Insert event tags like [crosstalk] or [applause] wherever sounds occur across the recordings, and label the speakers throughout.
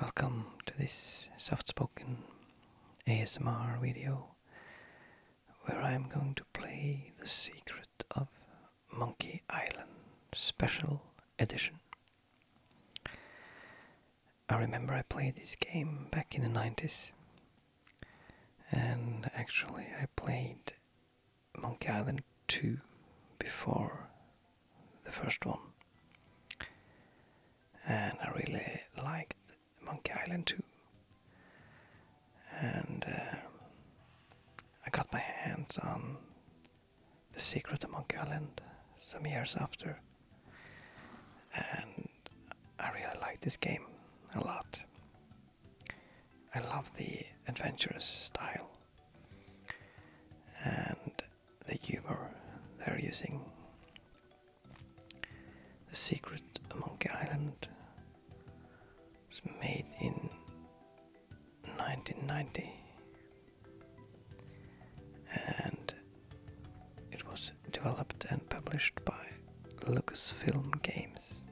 Speaker 1: Welcome to this soft spoken ASMR video where I'm going to play The Secret of Monkey Island Special Edition. I remember I played this game back in the 90s and actually I played Monkey Island 2 before the first one. And I really liked Monkey Island too. And uh, I got my hands on The Secret of Monkey Island some years after. And I really like this game a lot. I love the adventurous style. And the humor they're using. The Secret of Monkey Island was made in 1990 and it was developed and published by Lucasfilm Games.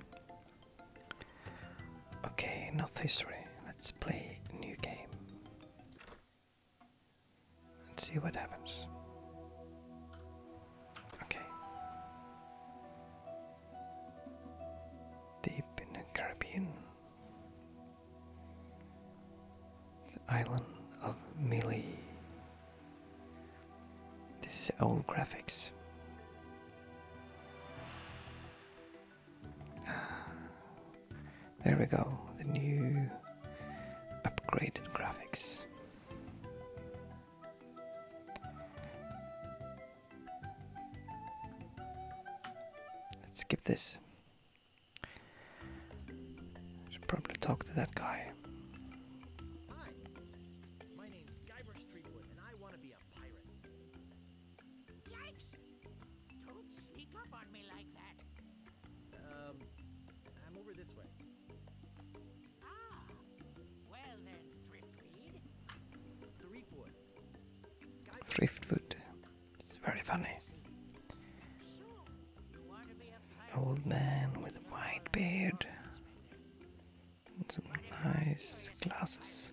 Speaker 1: Okay, enough history. Let's play a new game and see what happens. Okay. Deep in the Caribbean, the island of Mili. This is old graphics. Ah. There we go, the new upgraded graphics. Let's skip this. Should probably talk to that guy.
Speaker 2: Yikes! Don't sneak up on me
Speaker 3: like that.
Speaker 4: Um, I'm over this way.
Speaker 3: Ah, well then,
Speaker 1: Thriftwood. Thriftwood. It's very funny. Old man with a white beard and some nice glasses.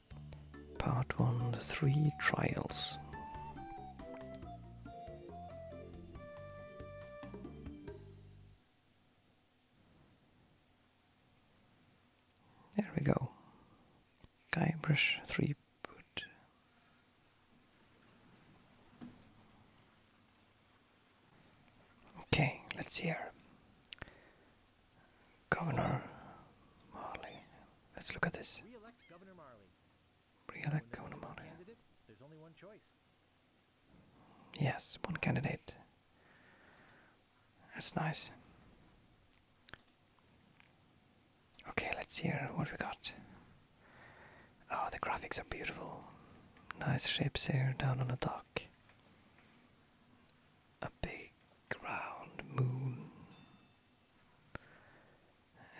Speaker 1: Part 1 The Three Trials. There we go. Guybrush three Threepwood. Okay, let's hear. Governor Marley. Let's look at this. re Governor
Speaker 4: Marley. There's only one choice.
Speaker 1: Yes, one candidate. That's nice. Okay, let's hear what we got. Oh, the graphics are beautiful. Nice shapes here down on the dock a big round moon,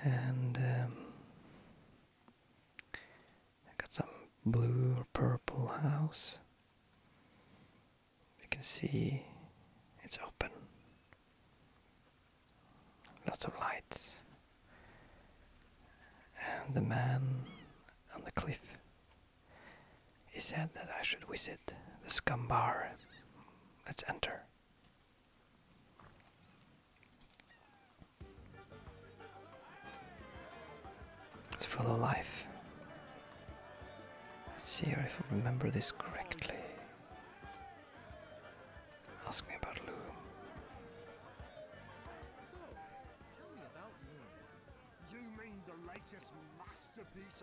Speaker 1: and um, I got some blue or purple house. You can see it's open, lots of lights, and the man on the cliff he said that I should visit the Scumbar. Let's enter. It's full of life. Let's see if I remember this correctly. Ask me about Loom. So, tell me about Loom.
Speaker 2: You mean the latest masterpiece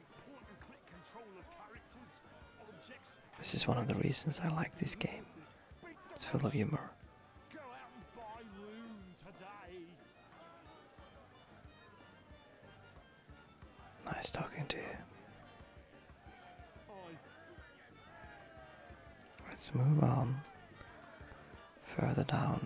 Speaker 1: This is one of the reasons I like this game. It's full of humor. Nice talking to you. Let's move on further down.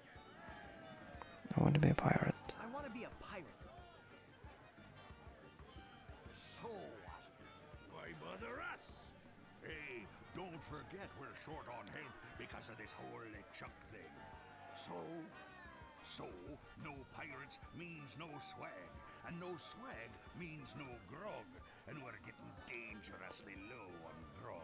Speaker 1: I want to be a pirate.
Speaker 3: I want to be a pirate. So
Speaker 5: what? Hey, don't forget we're short on help because
Speaker 6: of this whole Chuck thing. So, so no pirates means no swag, and no swag means no grog, and we're getting
Speaker 4: dangerously low on grog.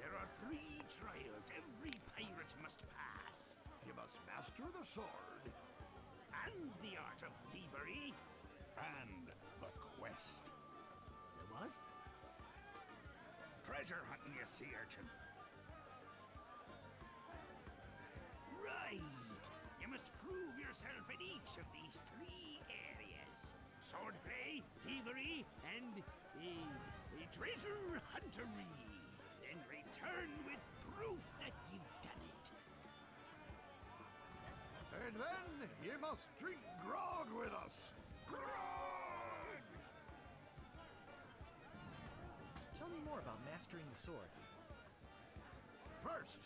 Speaker 6: There are three trials every pirate must pass.
Speaker 4: You must master the
Speaker 6: sword, and the art of thievery, and the quest. what? Treasure hunting, you sea urchin. Right! You must prove yourself in each of these three areas. Swordplay, thievery and a treasure huntery, and return with proof that you've done it.
Speaker 3: And then you must drink grog with us. Grog!
Speaker 4: Tell me more about mastering the sword.
Speaker 3: First,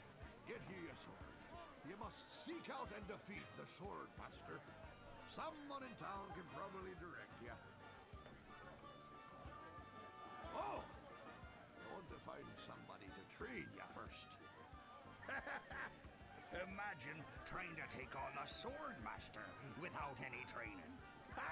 Speaker 3: get ye sword. You must seek out and defeat the sword master. Someone in town can probably direct you. Oh! You want to find somebody to
Speaker 6: train you first. [laughs] Imagine trying to take on a sword master without any training. [laughs]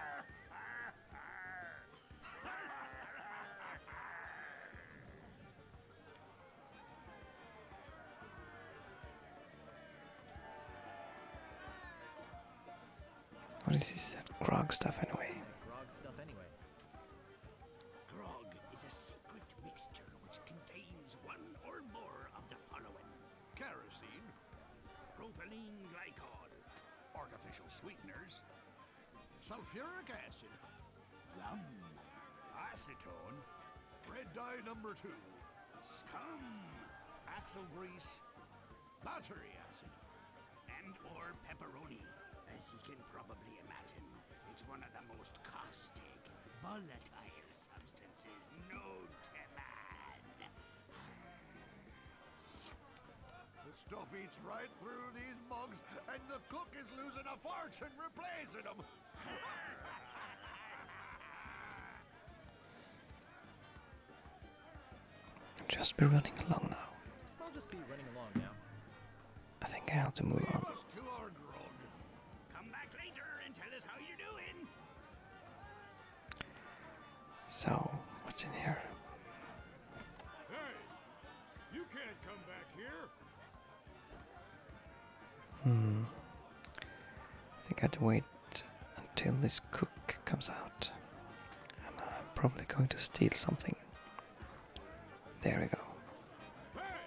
Speaker 1: What is this? That grog stuff
Speaker 3: anyway. Grog is a secret mixture which contains one or
Speaker 6: more of the following: kerosene, propylene glycol, artificial sweeteners, sulfuric acid, rum,
Speaker 3: acetone, red dye number two scum, axle grease, battery acid, and or pepperoni.
Speaker 6: As you can probably imagine, it's one of the most caustic, volatile substances known to man.
Speaker 3: The stuff eats right through these mugs, and the cook is losing a fortune replacing them. [laughs]
Speaker 1: Just be running along now.
Speaker 4: I'll just be running along now.
Speaker 1: I think I have to move on. So, what's in here? here. Hmm. I think I have to wait until this cook comes out. I'm probably going to steal something. There we go. Hey,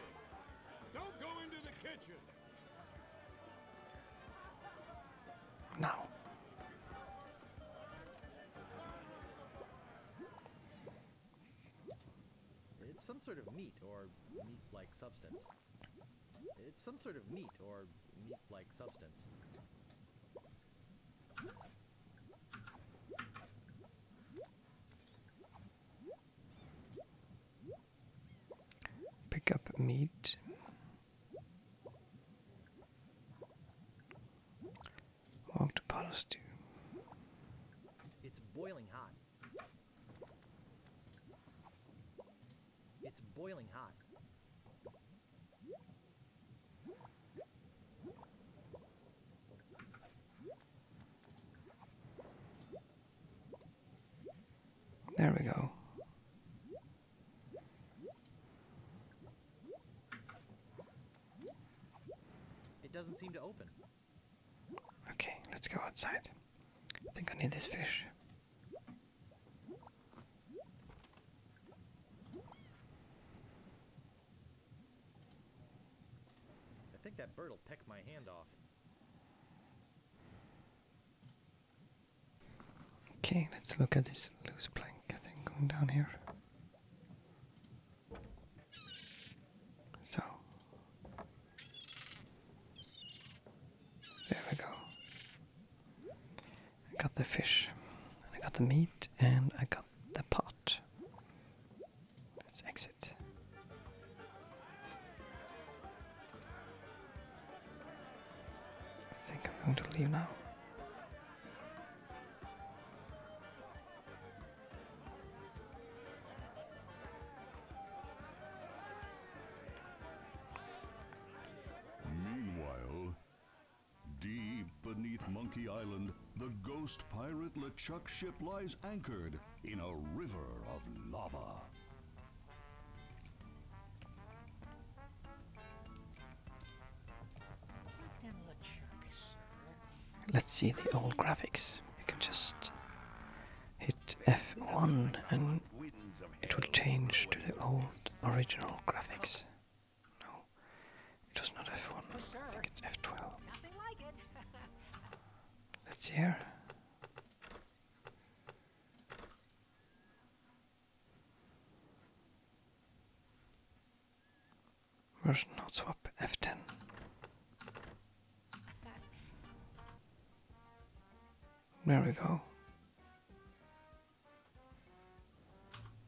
Speaker 4: Now. It's some sort of meat or meat like substance. It's some sort of meat or meat-like substance.
Speaker 1: Pick up meat.
Speaker 4: Walk to Palo Stew. It's boiling hot. It's boiling hot. There we go. It doesn't seem to open.
Speaker 1: Okay, let's go outside. I think I need this fish.
Speaker 4: I think that bird will peck my hand off.
Speaker 1: Okay, let's look at this loose plank, I think, going down here. So, there we go. I got the fish, and I got the meat, and I got the pot. Let's exit. I think I'm going to leave now.
Speaker 5: Meanwhile, Deep beneath Monkey Island, the ghost pirate LeChuck ship lies anchored in a river of lava.
Speaker 1: Let's see the old graphics. You can just hit F1 and it will change to the old original graphics. No, it was not F1, I think it's F12. [laughs] Let's hear. Version not swap F10. There we go.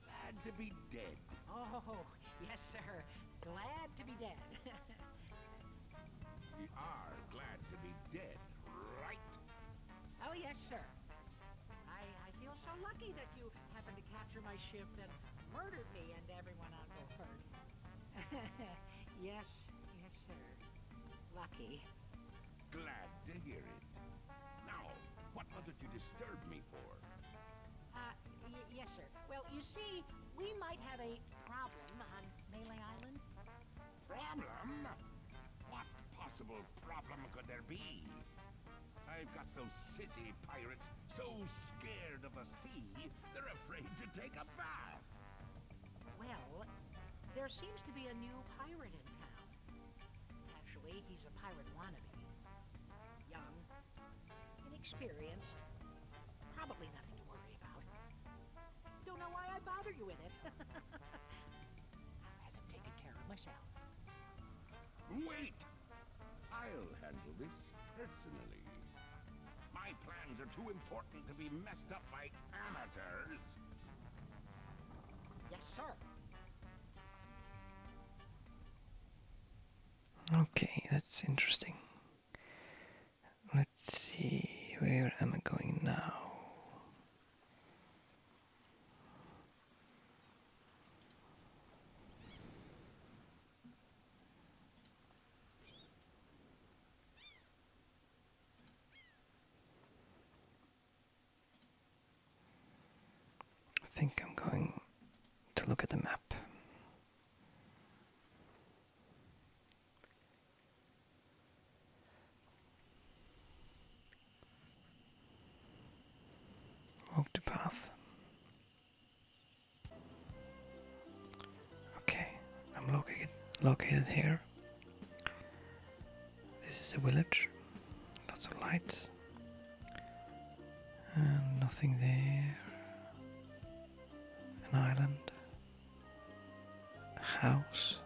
Speaker 2: Glad to be dead. Oh, yes, sir. Glad to be dead. we are glad to be dead, right? Oh, yes, sir. I, I feel so lucky that you happened to capture my ship and murdered me and everyone on board. [laughs] yes, yes, sir. Lucky.
Speaker 5: Glad to hear it.
Speaker 6: Now, what was it you disturbed me for?
Speaker 2: Uh, yes, sir. Well, you see, we might have a problem on Malay Island.
Speaker 6: Problem? What possible problem could there be? I've got those sissy pirates so scared of the sea, they're afraid
Speaker 3: to take a bath.
Speaker 2: Well, there seems to be a new pirate in town. Actually, he's a pirate wannabe. Young, inexperienced, probably nothing to worry about. Don't know why I bother you with it. [laughs] I'll have them taken care of myself.
Speaker 6: Wait! I'll handle this personally. My plans are too important to be messed up by amateurs.
Speaker 2: Yes, sir.
Speaker 1: Okay, that's interesting. Let's see, where am I going now? I think I'm going to look at the map. Walk the path. Okay, I'm located located here. This is a village, lots of lights, and nothing there. An island, a house,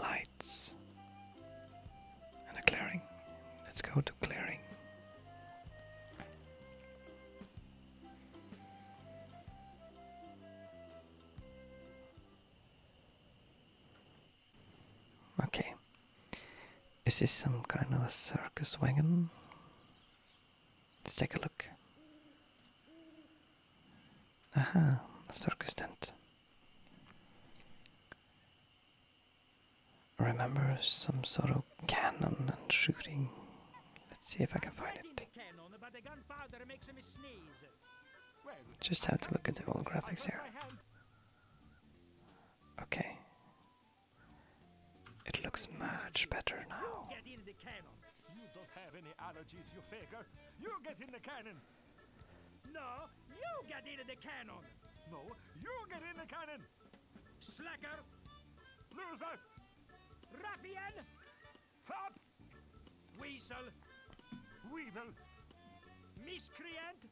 Speaker 1: lights, and a clearing. Let's go to clearing. Okay. Is this some kind of a circus wagon? Let's take a look. Aha, a circus tent. remember some sort of cannon and shooting. Let's see if I can find it. Just have to look at the old graphics here. Okay. It looks much better now. Get
Speaker 2: in the cannon. You don't have any allergies, you faker. You get in the cannon. No, you get in the cannon. No, you get in the cannon. Slacker. Loser. raffian, Fop. Weasel. Weevil. Miscreant.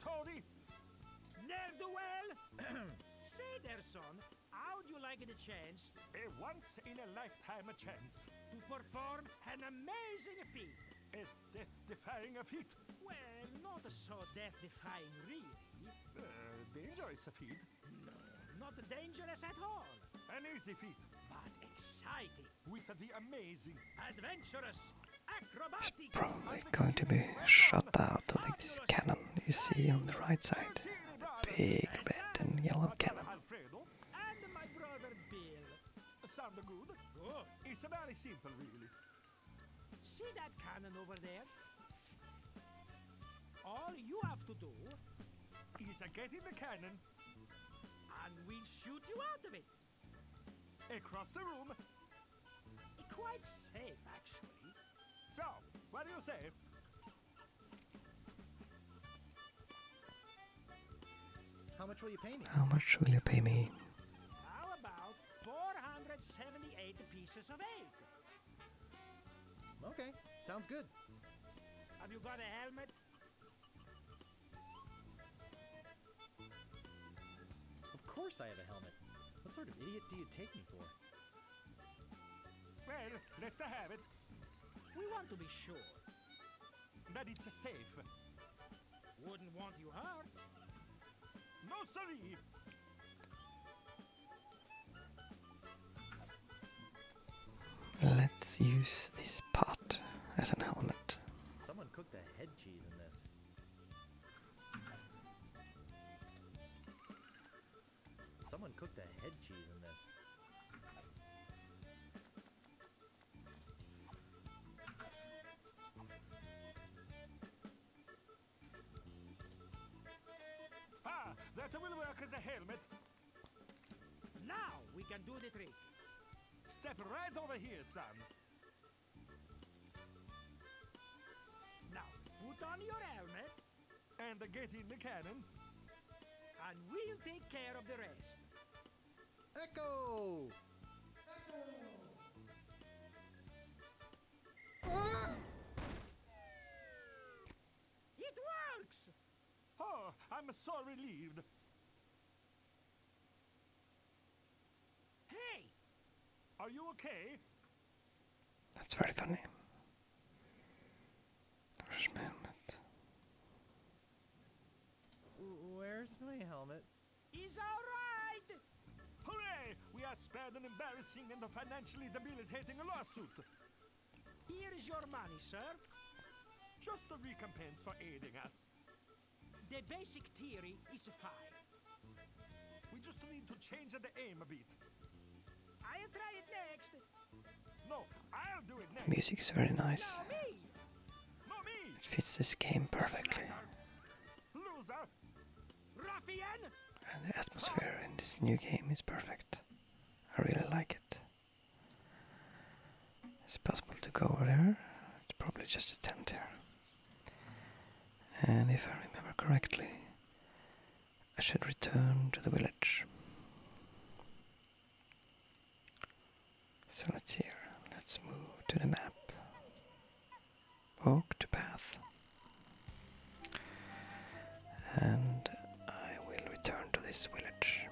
Speaker 2: Tony? Ne'er-do-well? Say there, [clears throat] son, how'd you like the chance? A once-in-a-lifetime chance. To perform an amazing feat. A death-defying feat? Well, not so death-defying, really. Uh, dangerous feat? No, not dangerous at all. An easy feat. But exciting. He's probably going to be
Speaker 1: shot out of like this cannon you see on the right side. The big red and yellow cannon. Oh.
Speaker 2: It's very simple, really. See that cannon over there? All you have to do is get in the cannon, and we'll shoot you out of it. Across the room. Quite safe, actually. So, what do you say?
Speaker 4: How much will you pay me?
Speaker 1: How much will you pay me?
Speaker 4: How about 478
Speaker 2: pieces of eight? Okay, sounds good. Have you got a helmet?
Speaker 4: Of course I have a helmet. What sort of idiot do you take me for?
Speaker 2: Well, let's have it. We want to be sure. That it's safe. Wouldn't want you hurt. No sir.
Speaker 1: Let's use this pot as an helmet.
Speaker 4: Someone cooked a head cheese in this. Someone cooked a head cheese in this.
Speaker 2: Ah, that will work as a helmet. Now we can do the trick. Step right over here, son. Now, put on your helmet and get in the cannon, and we'll take care of the rest. Echo! It works! Oh, I'm so relieved. Hey! Are you okay?
Speaker 1: That's very funny. Where's my
Speaker 2: helmet? Where's my helmet? He's alright! Hooray! We are spared an embarrassing and a financially debilitating lawsuit. Here is your money, sir. Just a recompense for aiding us. The basic theory is fine. We just need to change the aim a bit.
Speaker 1: I'll try it next. No, I'll do it next. Music is very nice. It fits this game perfectly. And the atmosphere in this new game is perfect. I really like it. It's possible to go over there. It's probably just a tent here. And if I remember correctly, I should return to the village. So let's here, let's move to the map. Walk to path. And I will return to this village.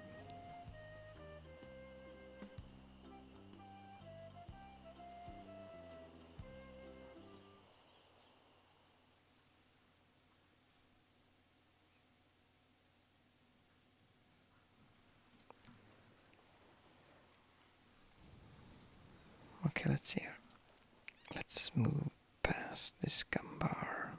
Speaker 1: Okay, let's see here. Let's move past this gum bar.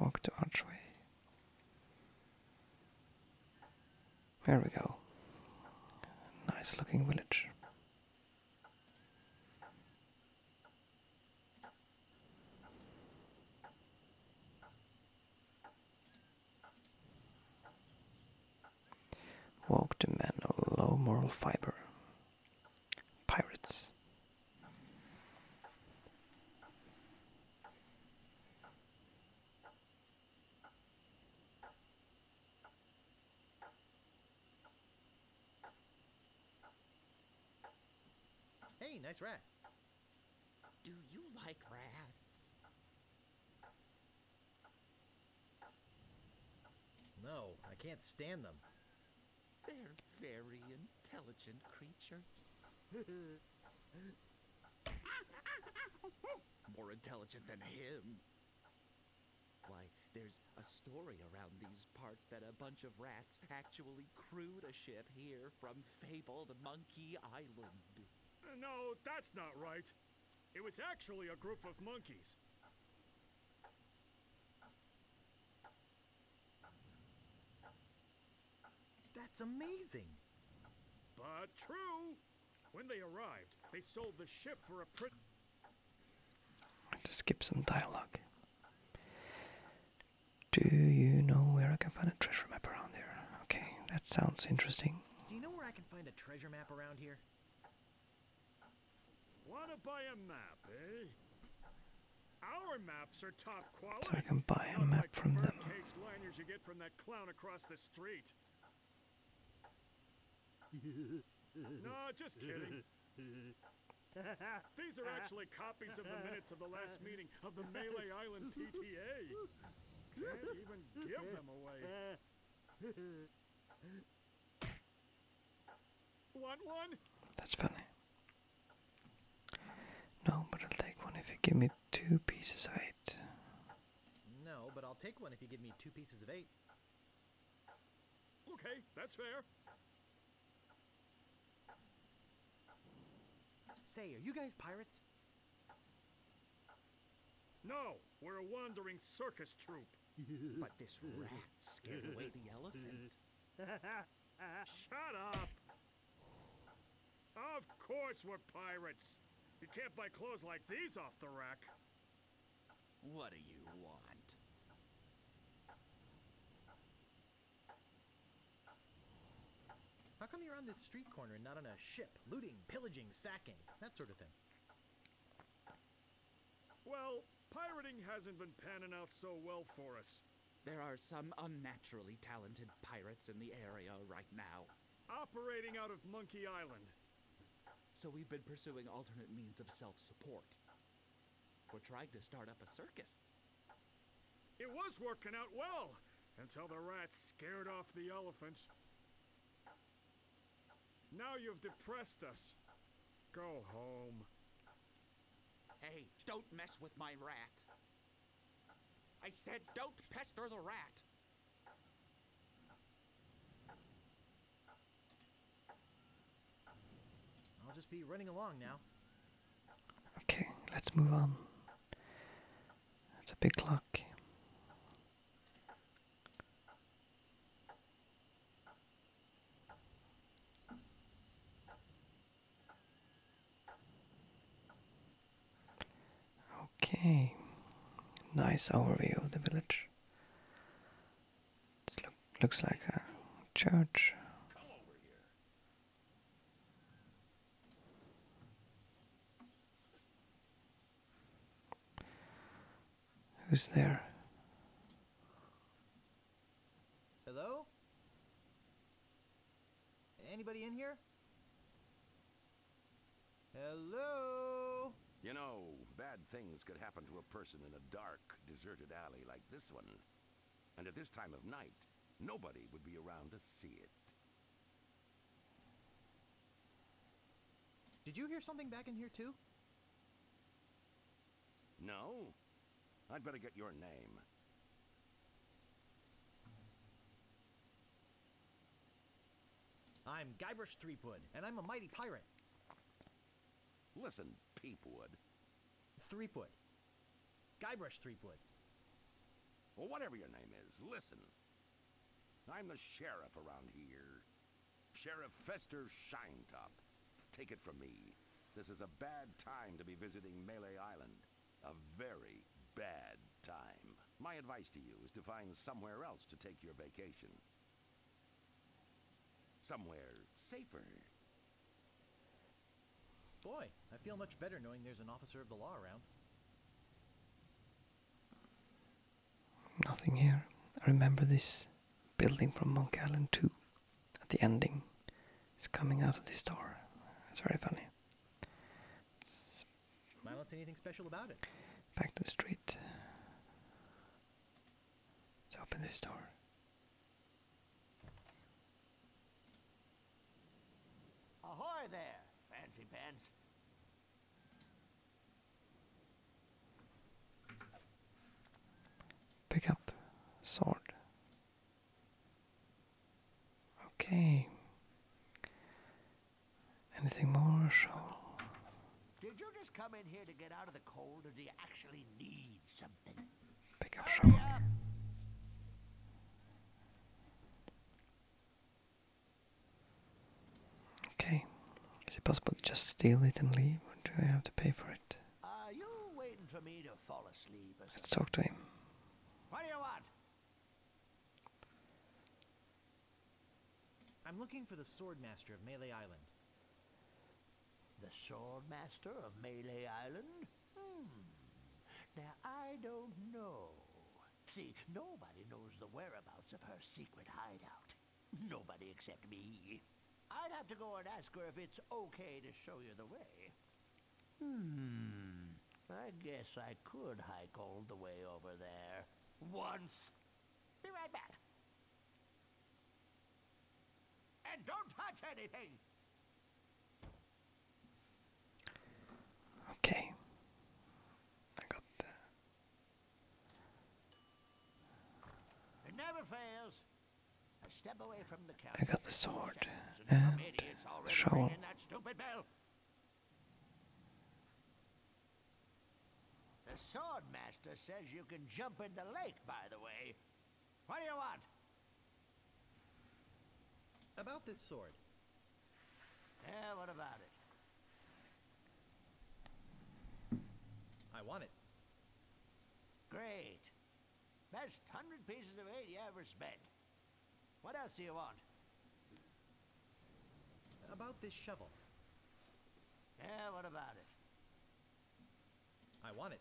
Speaker 1: Walk to archway. There we go. Nice looking village. Walked the men of low moral fiber. Pirates.
Speaker 4: Hey, nice rat. Do you like rats? No, I can't stand them. They're very intelligent creatures.
Speaker 3: More intelligent than him. Why, there's a story around these parts that a bunch of rats
Speaker 4: actually crewed a ship here from fabled Monkey Island.
Speaker 7: No, that's not right. It was actually a group of monkeys. That's amazing. But true. When they arrived, they sold the ship for a pretty.
Speaker 1: Just skip some dialogue. Do you know where I can find a treasure map around here? Okay, that sounds interesting. Do you know where I can find a treasure map around here?
Speaker 7: Wanna buy a map, eh? Our maps are top quality. So I can buy a map from them. Lanyards
Speaker 2: [laughs] no, just kidding.
Speaker 7: [laughs] These are actually copies of the minutes of the last meeting of the Melee Island PTA even give them away. That's funny.
Speaker 1: No, but I'll take one if you give me two pieces of eight.
Speaker 4: No, but I'll take one if you give me two pieces of eight.
Speaker 7: Okay, that's fair. Say, are you guys pirates? No, we're a wandering circus troupe.
Speaker 2: [laughs] but this rat scared away the elephant.
Speaker 7: [laughs] Shut up! Of course we're pirates. You can't buy clothes like these off the rack. What do you want?
Speaker 4: How come you're on this street corner and not on a ship, looting, pillaging, sacking, that sort of thing?
Speaker 7: Well, pirating hasn't been panning out so well for us. There are some unnaturally talented pirates in the area right now. Operating out of Monkey Island. So we've been pursuing alternate means of self support. We're trying to start up a circus. It was working out well until the rats scared off the elephants. Now you've depressed us. Go home.
Speaker 2: Hey, don't mess with my rat.
Speaker 6: I said don't pester the rat.
Speaker 4: I'll just be running along now.
Speaker 1: Okay, let's move on. It's a big clock. Okay, nice overview of the village. looks like a church. Who's there?
Speaker 4: Hello? Anybody in here?
Speaker 6: Hello? You know, bad things could happen to a person in a dark, deserted alley like this one. And at this time of night, nobody would be around to see it.
Speaker 4: Did you hear something back in here too?
Speaker 6: No. I'd better get
Speaker 4: your name. I'm Guybrush Threepwood, and I'm a mighty pirate. Listen, Peepwood. Threepwood. Guybrush Threepwood.
Speaker 6: Well, whatever your name is, listen. I'm the sheriff around here. Sheriff Fester Shinetop. Take it from me. This is a bad time to be visiting Melee Island. A very bad time. My advice to you is to find somewhere else to take your vacation.
Speaker 4: Somewhere safer. Boy, I feel much better knowing there's an officer of the law around.
Speaker 1: Nothing here. I remember this building from Monk Allen 2 at the ending. It's coming out of this door. It's very funny.
Speaker 4: It's Might not say anything special about it.
Speaker 1: Back to the street. Let's open this door.
Speaker 3: Ahoy there, fancy pants.
Speaker 1: Pick up sword. Okay. Anything more, Shaw?
Speaker 3: Did you just come in here to get out of the cold, or do you actually need something?
Speaker 1: Pick up Shaw. Okay. Is it possible to just steal it and leave, or do I have to pay for it? Let's talk to him.
Speaker 3: What do you want?
Speaker 4: I'm looking for the Swordmaster of Melee Island. The
Speaker 3: Swordmaster of Melee Island? Hmm. Now, I don't know. See, nobody knows the whereabouts of her secret hideout. Nobody except me. I'd have to go and ask her if it's okay to show you the way. Hmm. I guess I could hike all the way over there. Once. Be right back. And don't touch anything! Okay. I got the I got the sword and the shovel. The sword master says you can jump in the lake, by the way. What do you want? About this sword. Yeah, what about it? I want it. Great. Best hundred pieces of eight ever spent. What else do you want? About this shovel. Yeah, what about it? I want it.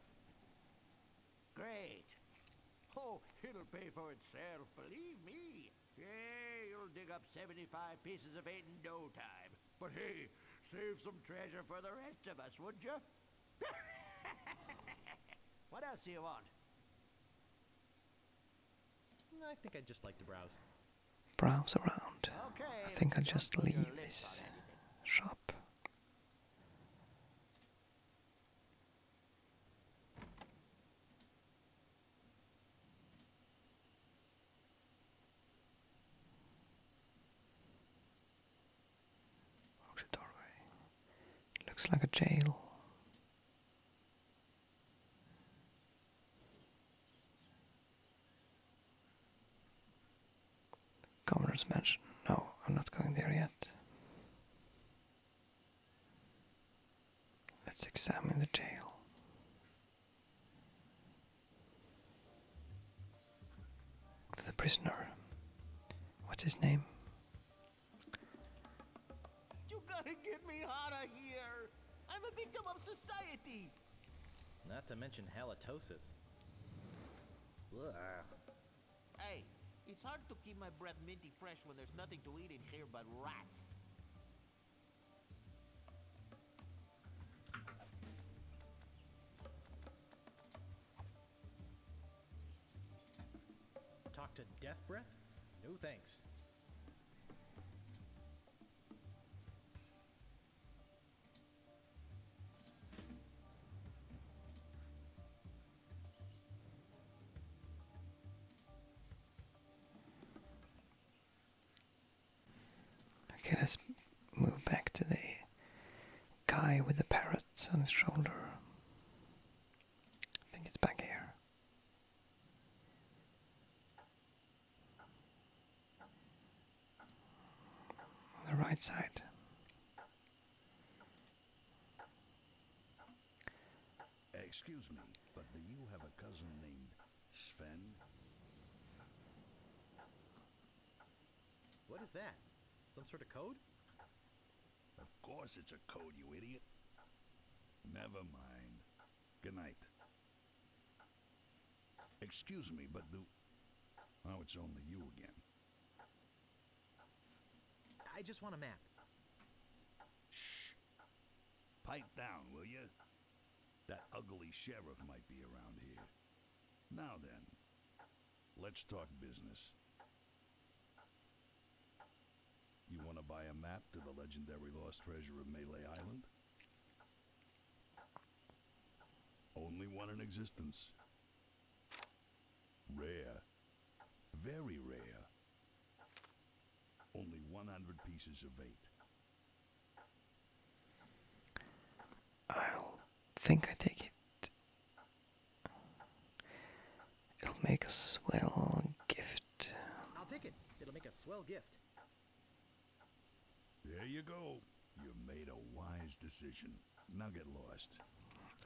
Speaker 3: Great. Oh, it'll pay for itself, believe me. Yeah, you'll dig up 75 pieces of eight in no time. But hey, save some treasure for the rest of us, would you? [laughs] what else do you want? I think I'd just like to browse.
Speaker 1: Browse around. I think I'll just leave this shop. What's doorway? looks like a jail. governor's mansion. No, I'm not going there yet. Let's examine the jail. The prisoner. What's his name?
Speaker 3: You gotta get me out of here! I'm a victim of society!
Speaker 4: Not to mention halitosis.
Speaker 3: Hey, it's hard to keep my breath minty fresh when there's nothing to eat in here but rats.
Speaker 4: Talk to Death Breath? No thanks.
Speaker 1: Okay, let's move back to the guy with the parrot on his shoulder. I think it's back here. On the right side.
Speaker 5: Sven. What is
Speaker 4: that? Some sort of code?
Speaker 5: Of course it's a code, you idiot. Never mind. Good night. Excuse me, but do... Oh, it's only you again.
Speaker 4: I just want a map.
Speaker 5: Shh. Pipe down, will you? That ugly sheriff might be around here. Now then, let's talk business. You want to buy a map to the legendary lost treasure of Melee Island? Only one in existence. Rare. Very rare. Only 100 pieces of eight.
Speaker 1: I'll think I take it. It'll make a swell gift.
Speaker 4: take it. It'll make a swell gift.
Speaker 5: There you go. You made a wise decision. Now get lost.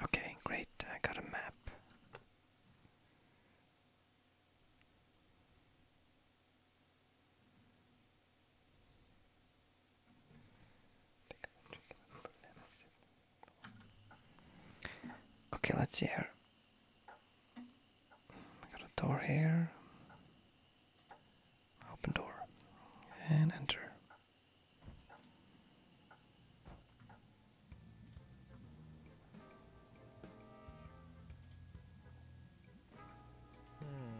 Speaker 1: Okay, great. I got a map. Okay, let's see here. got a door here. Open door and enter.
Speaker 4: Hmm.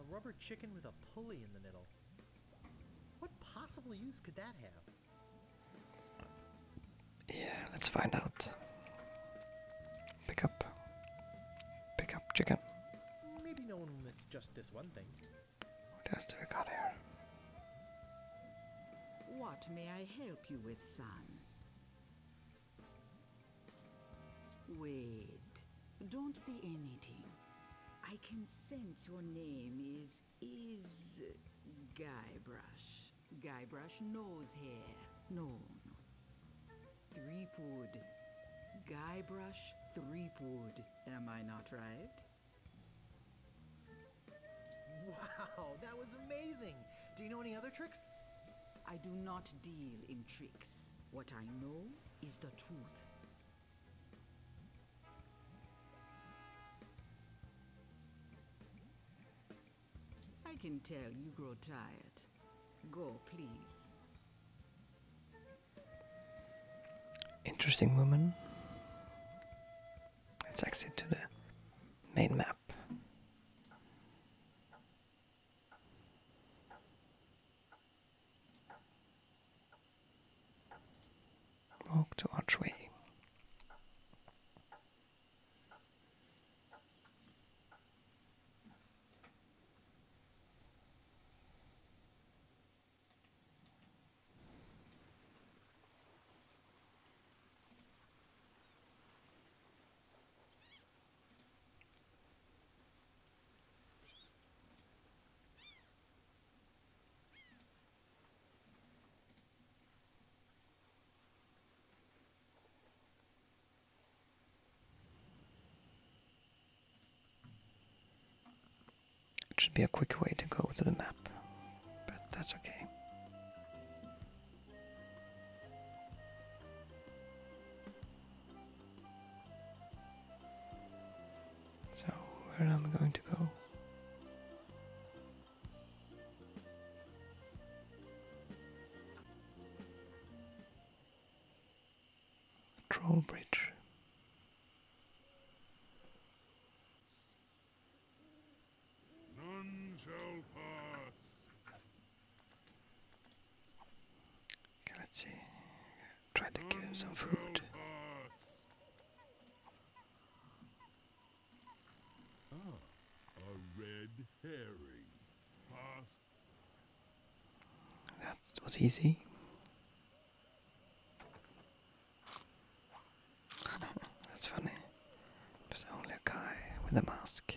Speaker 4: A rubber chicken with a pulley in the middle. What possible use could that have?
Speaker 1: Yeah, let's find out. Pick up.
Speaker 4: Pick up chicken. Maybe no one will miss just this one thing.
Speaker 1: What else do we got here?
Speaker 4: What may I help you with, son?
Speaker 5: Wait. Don't say anything. I can sense your name is... is... Guybrush. Guybrush nose hair. No, no. Threepwood. Guybrush Three Threepwood. Am I not right?
Speaker 4: Wow, that was amazing! Do you know any other tricks?
Speaker 5: I do not deal in tricks. What I know is the truth. I can tell you grow tired. Go, please.
Speaker 1: Interesting woman. Let's exit to the main map. Walk to archway. It should be a quick way to go to the map, but that's okay. So, where am I going to go? Troll Bridge. None shall pass let's see. Try to give him some food. That was easy. [laughs] That's funny. There's only a guy with a mask.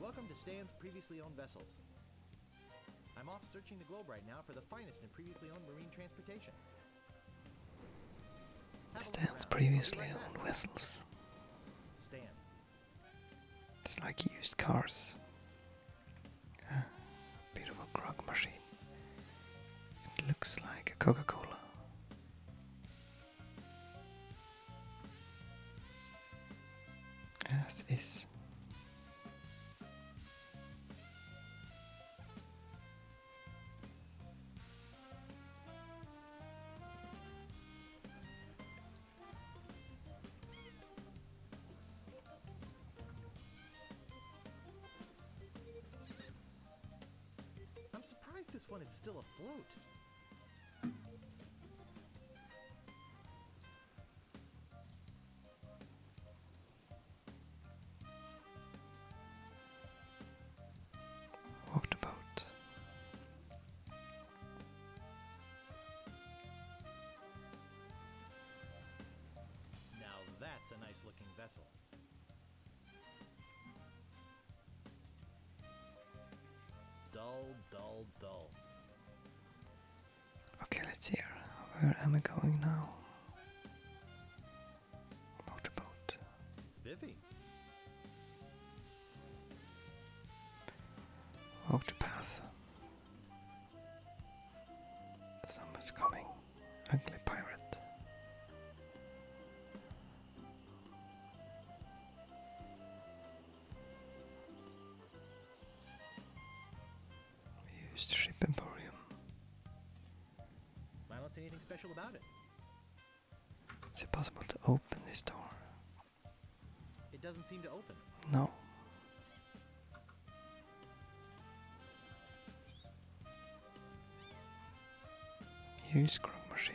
Speaker 4: Welcome to Stan's Previously Owned Vessels. I'm off searching the globe right now for the finest in previously owned marine transportation.
Speaker 1: Stan's previously owned vessels. Stan. It's like used cars. Ah, beautiful grog machine. It looks like a Coca-Cola as is.
Speaker 4: I'm surprised this one is still afloat. Walk the boat. Now that's a nice looking vessel. Dull, dull, dull.
Speaker 1: Okay, let's hear. Where am I going now? Boat to boat. Spiffy. Walk the coming. Ugly pirate. We Emporium. I
Speaker 4: don't see anything special about it.
Speaker 1: Is it possible to open this door?
Speaker 4: It doesn't seem to open.
Speaker 1: No. Use scrub machine.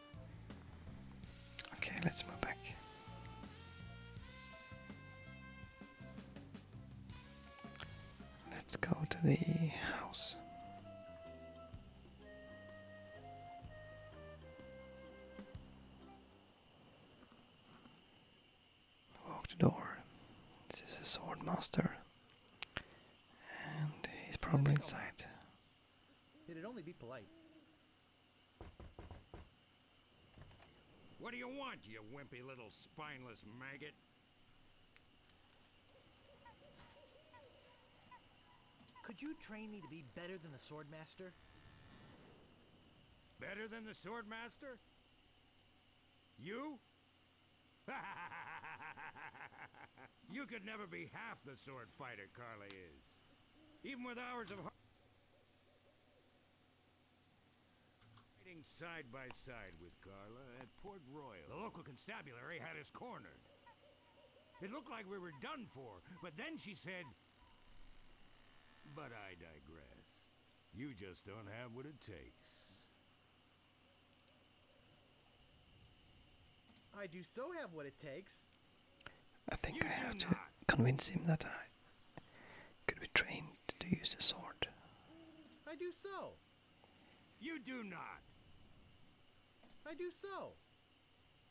Speaker 1: Okay, let's move back. Let's go to the house. Walk the door. This is a sword master. And he's probably inside.
Speaker 6: What do you want, you wimpy little spineless maggot?
Speaker 4: Could you train me to be better than the Swordmaster? Better than the Swordmaster?
Speaker 6: You? [laughs] you could never be half the sword fighter Carly is. Even with hours of... Fighting side by side with Carla at Port Royal. The local constabulary had us cornered. It looked like we were done for, but then she said... But I digress. You just don't have what it takes.
Speaker 4: I do so have what it takes. I think I have to
Speaker 1: convince him that I could be trained to use the sword.
Speaker 6: I do so. You do not. I do so.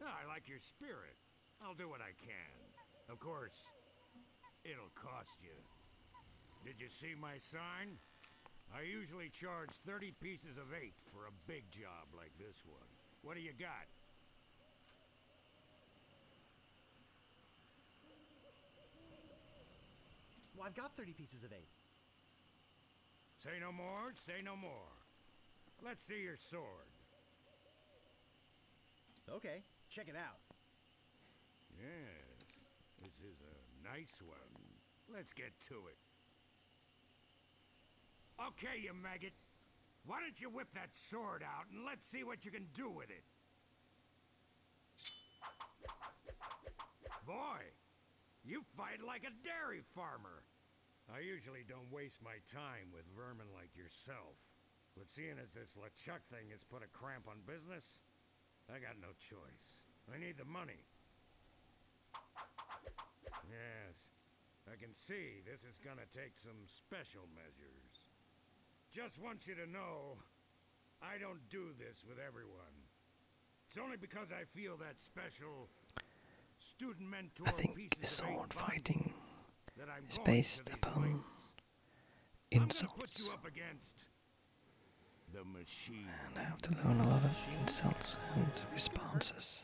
Speaker 6: Ah, I like your spirit. I'll do what I can. Of course, it'll cost you. Did you see my sign? I usually charge 30 pieces of eight for a big job like this one. What do
Speaker 4: you got? Well, I've got 30 pieces of eight.
Speaker 6: Say no more, say no more. Let's see your sword. Okay, check it out. Yes, this is a nice one. Let's get to it. Okay, you maggot. Why don't you whip that sword out and let's see what you can do with it? Boy, you fight like a dairy farmer. I usually don't waste my time with vermin like yourself. But seeing as this LeChuck thing has put a cramp on business, I got no choice. I need the money. Yes, I can see this is gonna take some special measures. Just want you to know, I don't do this with everyone. It's only because I feel that special student mentor I think sword
Speaker 1: fighting is based upon insults.
Speaker 6: And I have to learn a lot of
Speaker 1: insults and responses.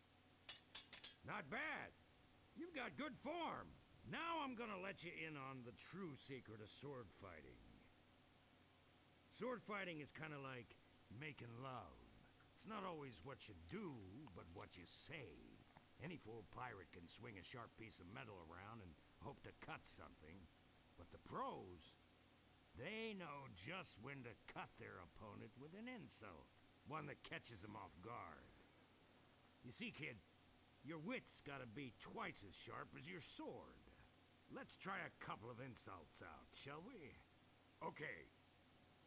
Speaker 6: Not bad. You've got good form. Now I'm gonna let you in on the true secret of sword fighting. Sword fighting is kinda like making love. It's not always what you do, but what you say. Any fool pirate can swing a sharp piece of metal around and hope to cut something. But the pros, they know just when to cut their opponent with an insult. One that catches them off guard. You see, kid, your wit's gotta be twice as sharp as your sword. Let's try a couple of insults out, shall we? Okay.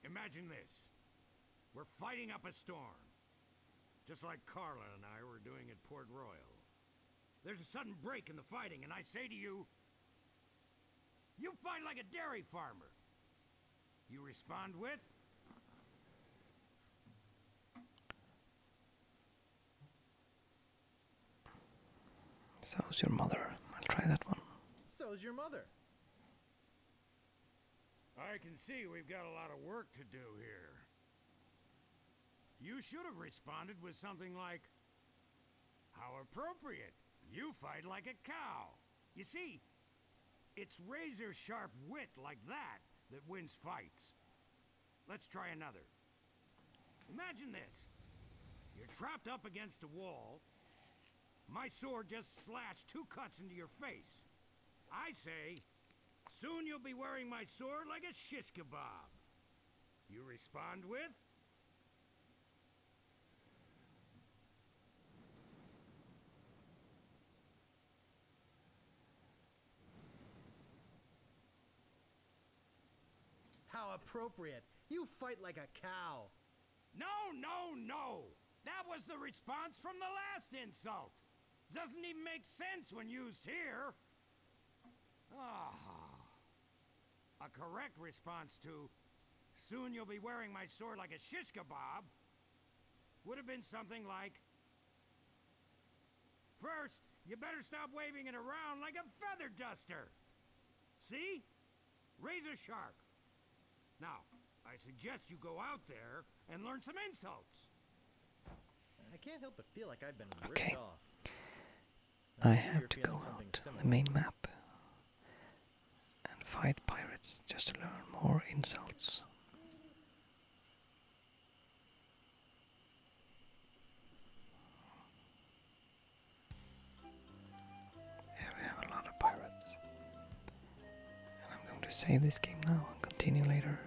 Speaker 6: Imagine this. We're fighting up a storm. Just like Carla and I were doing at Port Royal. There's a sudden break in the fighting, and I say to you, you fight like a dairy farmer. You respond with?
Speaker 1: So's your mother. I'll try that one.
Speaker 4: So's
Speaker 6: your mother. I can see we've got a lot of work to do here. You should have responded with something like, How appropriate. You fight like a cow. You see, it's razor-sharp wit like that that wins fights. Let's try another. Imagine this. You're trapped up against a wall. My sword just slashed two cuts into your face. I say, soon you'll be wearing my sword like a shish kebab. You respond with,
Speaker 4: how appropriate. You
Speaker 6: fight like a cow. No, no, no! That was the response from the last insult! Doesn't even make sense when used here! Ah. A correct response to Soon you'll be wearing my sword like a shish kebab. Would have been something like... First, you better stop waving it around like a feather duster. See? Razor sharp. Now, I suggest you go out there and learn some insults.
Speaker 4: I can't help but feel like I've been
Speaker 1: okay. ripped off. I, I have to go out on the main map and fight pirates just to learn more insults. Here we have a lot of pirates. And I'm going to save this game now and continue later.